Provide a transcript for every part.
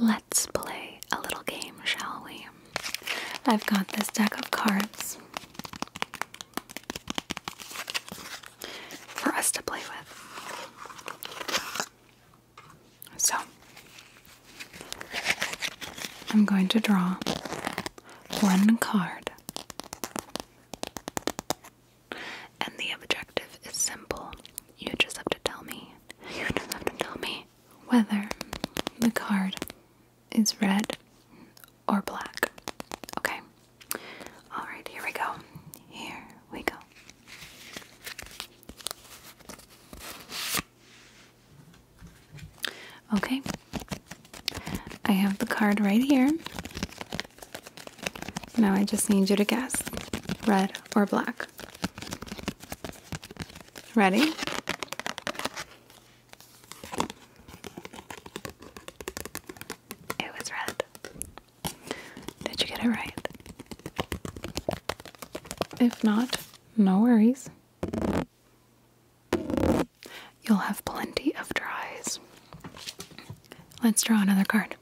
Let's play a little game, shall we? I've got this deck of cards for us to play with. So, I'm going to draw one card. And the objective is simple. You just have to tell me you just have to tell me whether the card is red or black. Okay. Alright, here we go. Here we go. Okay. I have the card right here. Now I just need you to guess red or black. Ready? It was red. Did you get it right? If not, no worries. You'll have plenty of tries. Let's draw another card.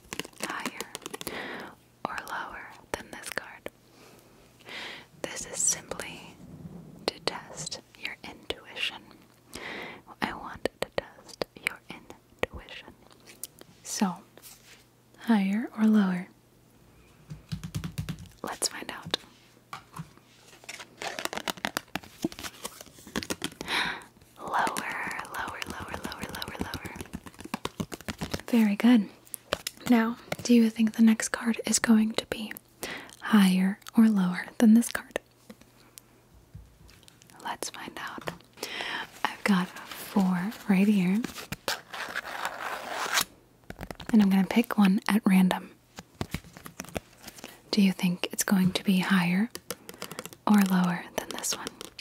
higher or lower than this card. This is simply to test your intuition. I want to test your intuition. So, higher or lower? Let's find out. Lower, lower, lower, lower, lower, lower. Very good. Now, do you think the next card is going to be higher or lower than this card? Let's find out. I've got four right here. And I'm going to pick one at random. Do you think it's going to be higher or lower than this one?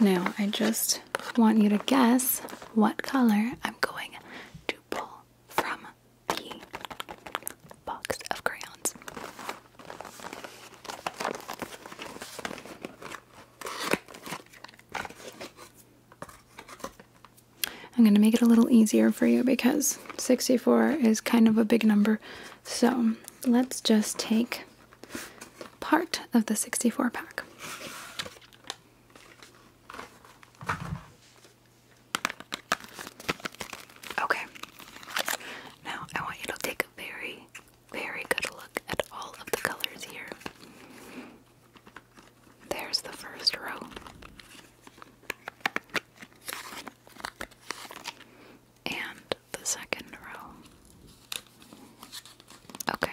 Now, I just want you to guess what color I'm going to pull from the box of crayons. I'm going to make it a little easier for you because 64 is kind of a big number. So let's just take part of the 64 pack. Okay, now I want you to take a very, very good look at all of the colors here. There's the first row. And the second row. Okay.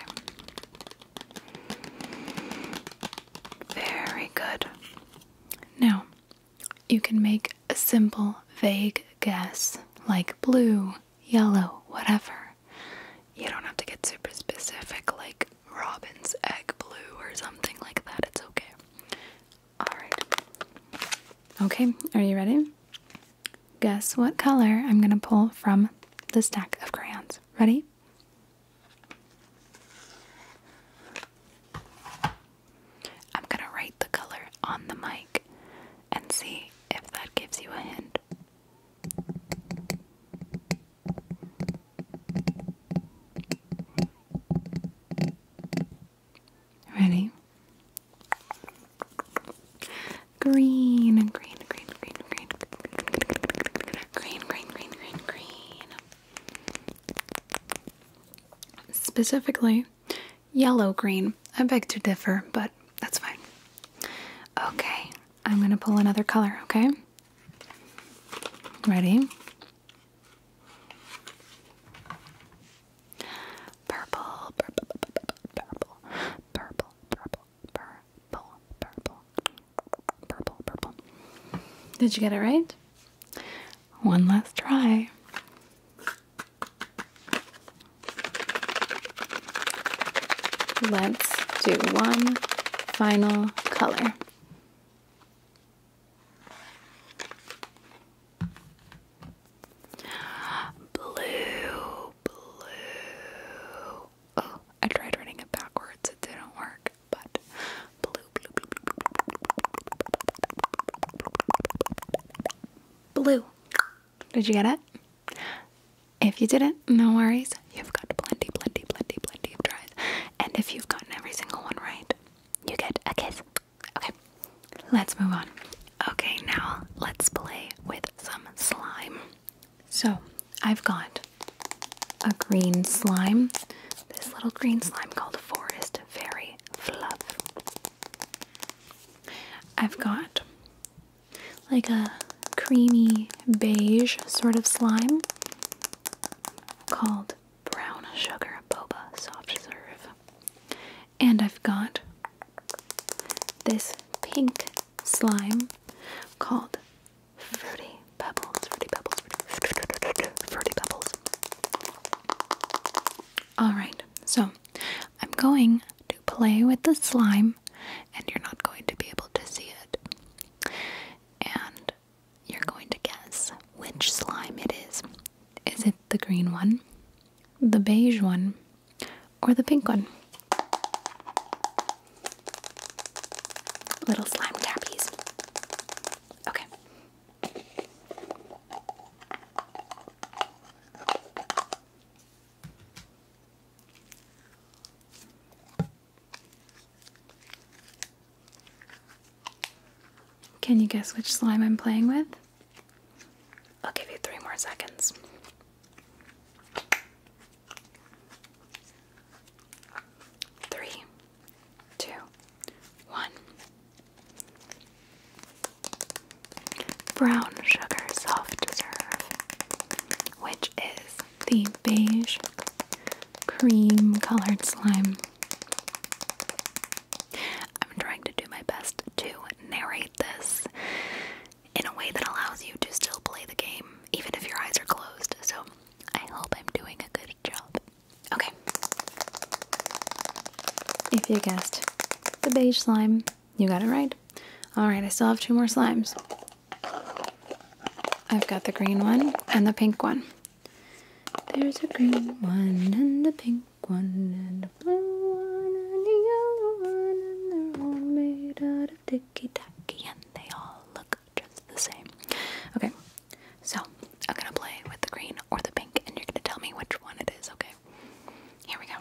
Very good. Now, you can make a simple, vague guess like blue, yellow, whatever. You don't have to get super specific like robin's egg blue or something like that. It's okay. Alright. Okay, are you ready? Guess what color I'm going to pull from the stack of crayons. Ready? I'm going to write the color on the mic and see if that gives you a hint. Ready? Green, green, green, green, green, green, green, green, green, green, green. Specifically, yellow green. I beg to differ, but that's fine. Okay, I'm gonna pull another color, okay? Ready? Purple, purple, purple, purple, purple, purple, purple, purple, purple. Did you get it right? One last try. Let's do one final color. Blue, blue. Oh, I tried writing it backwards, it didn't work, but blue, blue, blue, blue. Blue. Did you get it? If you didn't, no worries. You've got plenty, plenty, plenty, plenty of tries. And if you've gotten every single one right, you get a kiss. Okay, let's move on. Okay, now let's play with some slime. So, I've got a green slime, this little green slime called Forest Fairy Fluff. I've got like a creamy beige sort of slime called Brown Sugar Boba Soft Serve. And I've got this pink slime called Fruity Pebbles. Fruity Pebbles. Fruity, Pebbles. Alright, so I'm going to play with the slime, and you're not going to be able to see it. And you're going to guess which slime it is. Is it the green one, the beige one, or the pink one. Little slime tappies. Okay. Can you guess which slime I'm playing with? I'll give you three more seconds. Three, two, one. Brown sugar soft serve, which is the beige cream colored slime. I'm trying to do my best to narrate this in a way that allows you to still play the game even if your eyes are closed. So I hope I'm doing a good job. Okay. If you guessed the beige slime, you got it right. Alright, I still have two more slimes. I've got the green one and the pink one. There's a green one and a pink one and a blue one and a yellow one, and they're all made out of dicky dicky and they all look just the same. Okay, so I'm gonna play with the green or the pink, and you're gonna tell me which one it is, okay? Here we go.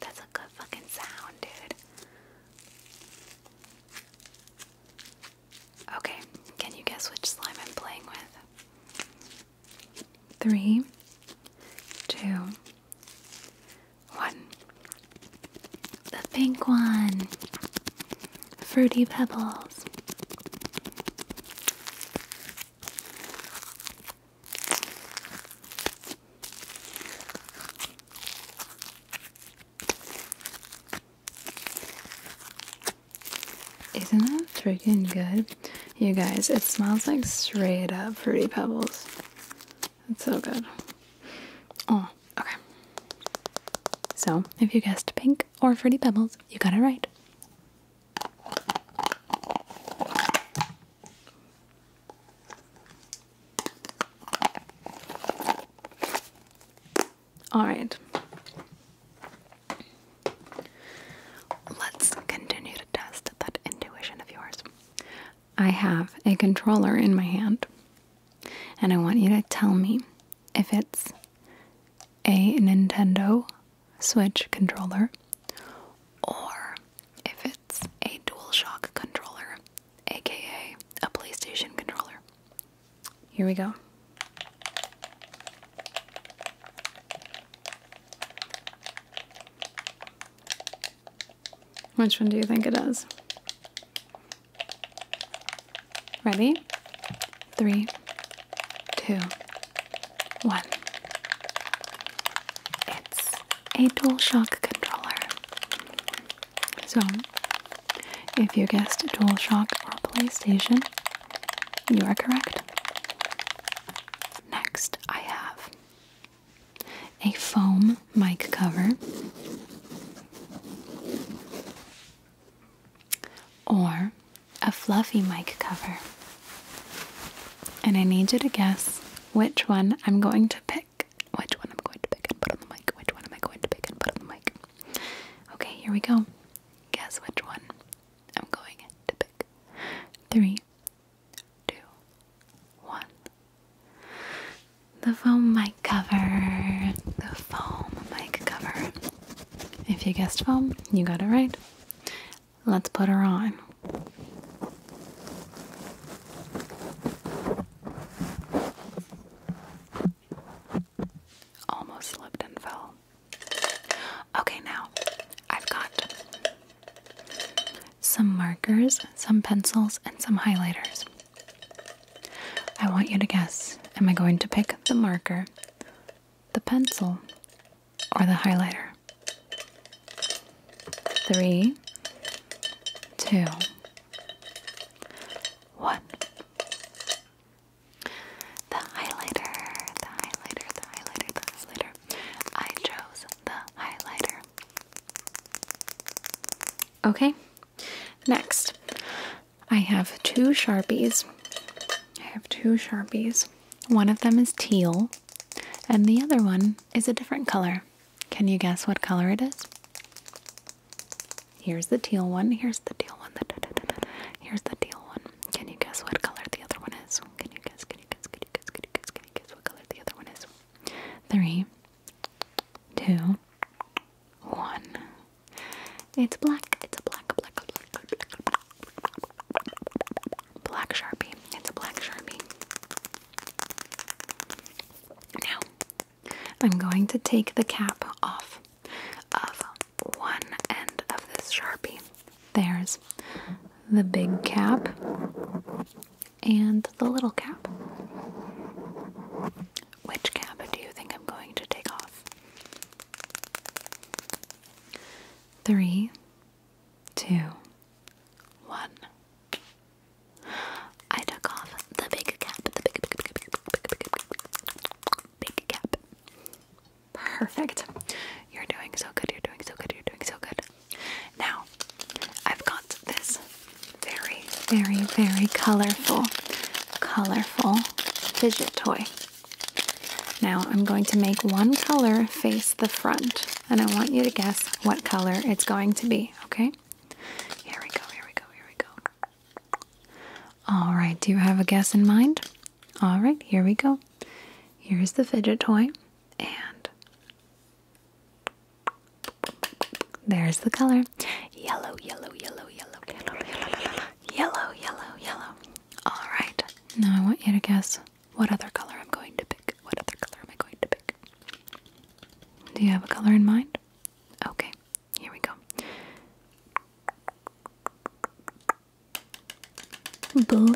That's a good fucking sound, dude. Okay, can you guess which slime I'm playing with? Three, two, one. The pink one. Fruity Pebbles. Isn't that freaking good? You guys, it smells like straight up fruity pebbles. It's so good. Oh, okay. So, if you guessed pink or fruity pebbles, you got it right. All right. Let's continue to test that intuition of yours. I have a controller in my hand, and I want you to tell me if it's a Nintendo Switch controller, or if it's a DualShock controller, aka a PlayStation controller. Here we go. Which one do you think it is? Ready? Three, two, one. It's a DualShock controller. So, if you guessed DualShock or PlayStation, you are correct. Next, I have a foam mic cover or a fluffy mic cover. And I need you to guess which one I'm going to pick. Which one I'm going to pick and put on the mic. Which one am I going to pick and put on the mic? Okay, here we go. Guess which one I'm going to pick. Three, two, one. The foam mic cover. The foam mic cover. If you guessed foam, you got it right. Let's put her on. Almost slipped and fell. Okay, now I've got some markers, some pencils, and some highlighters. I want you to guess am I going to pick the marker, the pencil, or the highlighter. Three, two, one. The highlighter, the highlighter, the highlighter, the highlighter. I chose the highlighter. Okay, next I have two Sharpies. I have two Sharpies. One of them is teal, and the other one is a different color. Can you guess what color it is? Here's the teal one. Here's the teal one. Here's the teal one. Can you guess what color the other one is? Can you guess? Can you guess? Can you guess? Can you guess? Can you guess what color the other one is? Three, two, one. It's black. It's a black, black, black, black, black sharpie. It's a black sharpie. Now, I'm going to take the cap off of one end of this sharpie. There's the big cap and the little cap. Which cap do you think I'm going to take off? Three, two, one. I took off the big cap, the big, big, big, big, big, big, big, big cap. Perfect. You're doing so good, you're doing so good, you're doing so good. Now, I've got this very, very, very colorful, colorful fidget toy. Now I'm going to make one color face the front, and I want you to guess what color it's going to be, okay? Here we go, here we go, here we go. All right, do you have a guess in mind? All right, here we go. Here's the fidget toy, and there's the color yellow, yellow, yellow, yellow, yellow, yellow, yellow, yellow. All right, now I want you to guess what other color I'm going to pick? What other color am I going to pick? Do you have a color in mind? Okay, here we go. Blue.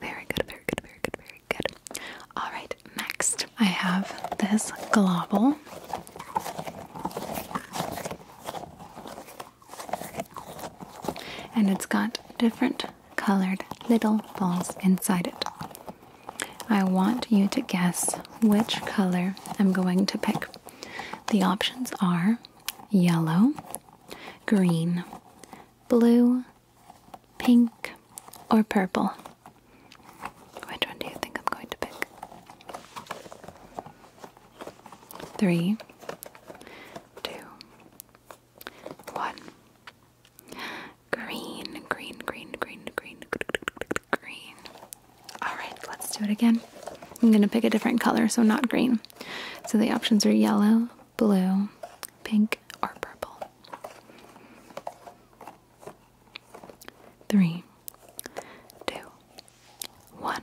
Very good, very good, very good, very good. All right, next I have this globule and it's got different colored little balls inside it. I want you to guess which color I'm going to pick. The options are yellow, green, blue, pink, or purple. Which one do you think I'm going to pick? Three, two, one. Green, green, green, green, green, green. Alright, let's do it again. I'm gonna pick a different color, so not green. So the options are yellow, blue, pink, or purple. Three, two, one.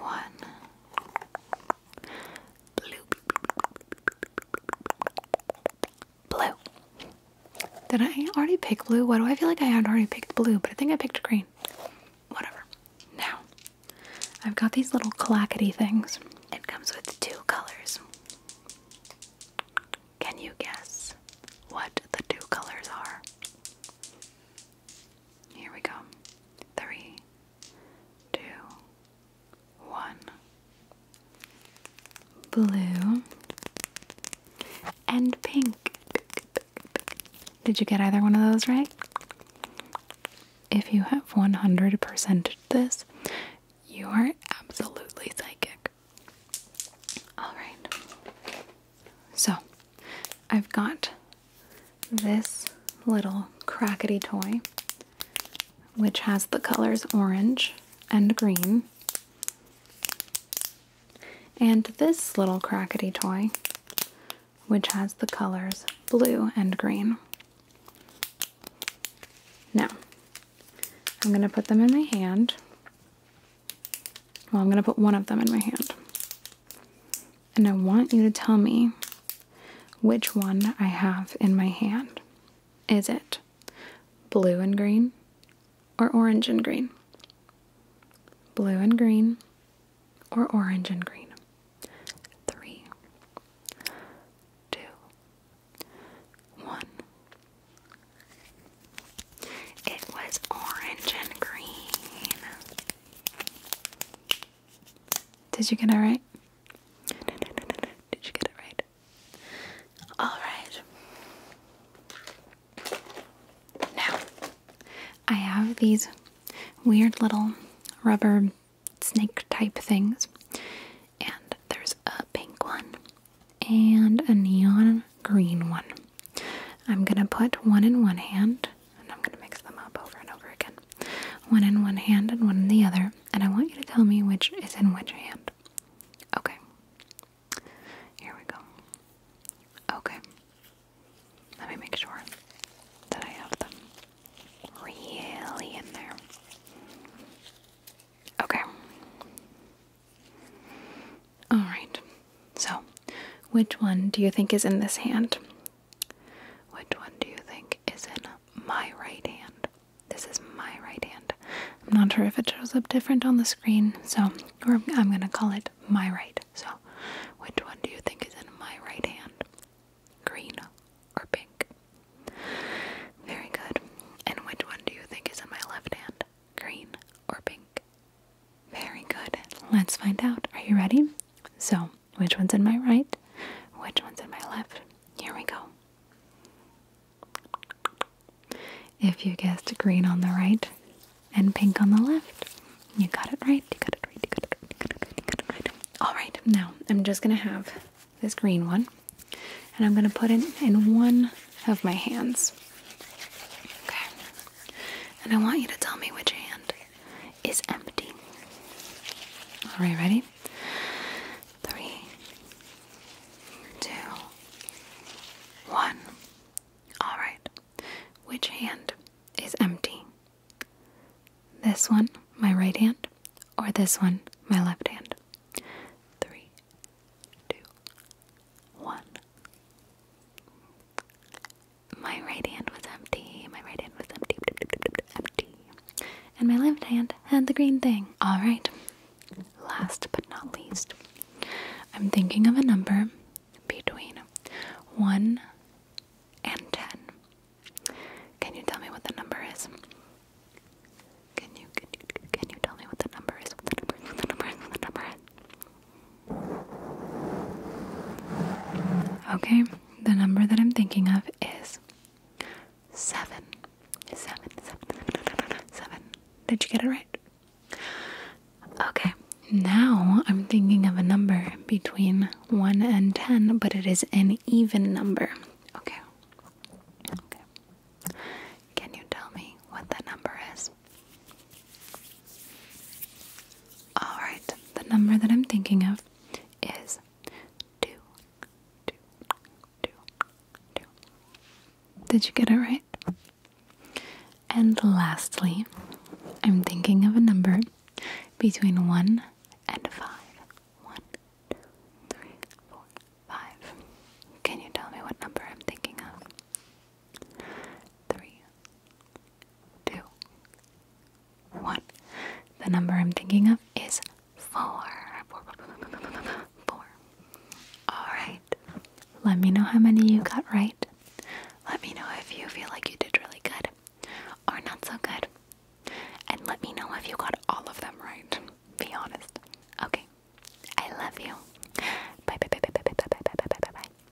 one blue blue did I already pick blue? Why do I feel like I had already picked blue, but I think I picked green. Whatever. Now, I've got these little clackety things. It comes with two colors. Can you guess what the two colors are? Here we go. Three, two, one. Blue and pink. Did you get either one of those right? If you have 100% this, you are absolutely psychic. All right. So, I've got this little crackety toy, which has the colors orange and green. And this little crackety toy, which has the colors blue and green. Now, I'm going to put them in my hand. Well, I'm going to put one of them in my hand and I want you to tell me which one I have in my hand. Is it blue and green or orange and green? Blue and green or orange and green? Three, two, one. It was orange and green. Did you get it right? Did you get it right? All right. Now, I have these weird little rubber snake type things, and there's a pink one and a neon green one. I'm gonna put one in one hand and I'm going to mix them up over and over again. One in one hand and one in the other, and I want you to tell me which is in which hand. Okay. Here we go. Okay. Let me make sure that I have them really in there. Okay. All right. So, which one do you think is in this hand? Which one do you think is in my right hand? This is my right hand. I'm not sure if it shows up different on the screen, so I'm going to call it my right. So, which one do you think is in my right hand? Green or pink? Very good. And which one do you think is in my left hand? Green or pink? Very good. Let's find out. Are you ready? So, which one's in my right? Which one's in my left? Here we go. If you guessed green on the right and pink on the left, you got it right. You got it right. All right. Now, I'm just going to have this green one and I'm going to put it in one of my hands. Okay. And I want you to tell me which hand is empty. Alright, ready? Three, two, one. Alright, which hand is empty? This one, my right hand, or this one, my left hand? Three, two, one my right hand was empty. My right hand was empty. Empty. And my left hand had the green thing. Alright. Last but not least, I'm thinking of a number between 1 and 10. Can you tell me what the number is? Can you, can you, can you tell me what the number is? the number the number What the number is? Okay, the number that I'm thinking of is seven. Seven, seven, seven, seven. Did you get it right? Okay, now I'm thinking of a number between 1 and 10, but it is an even number. Okay. Okay. Can you tell me what that number is? Alright, the number that I'm thinking of is two, two, two, two. Did you get it right? And lastly, I'm thinking of a number between 1 and 5. 1, Can you tell me what number I'm thinking of? 3, two, one. The number I'm thinking of is four. Four. Alright. Let me know how many you got right. Let me know if you feel like you did really good or not so good. And let me know if you got all of them right. Be honest. Okay. I love you. Bye bye bye bye bye bye bye bye bye bye bye.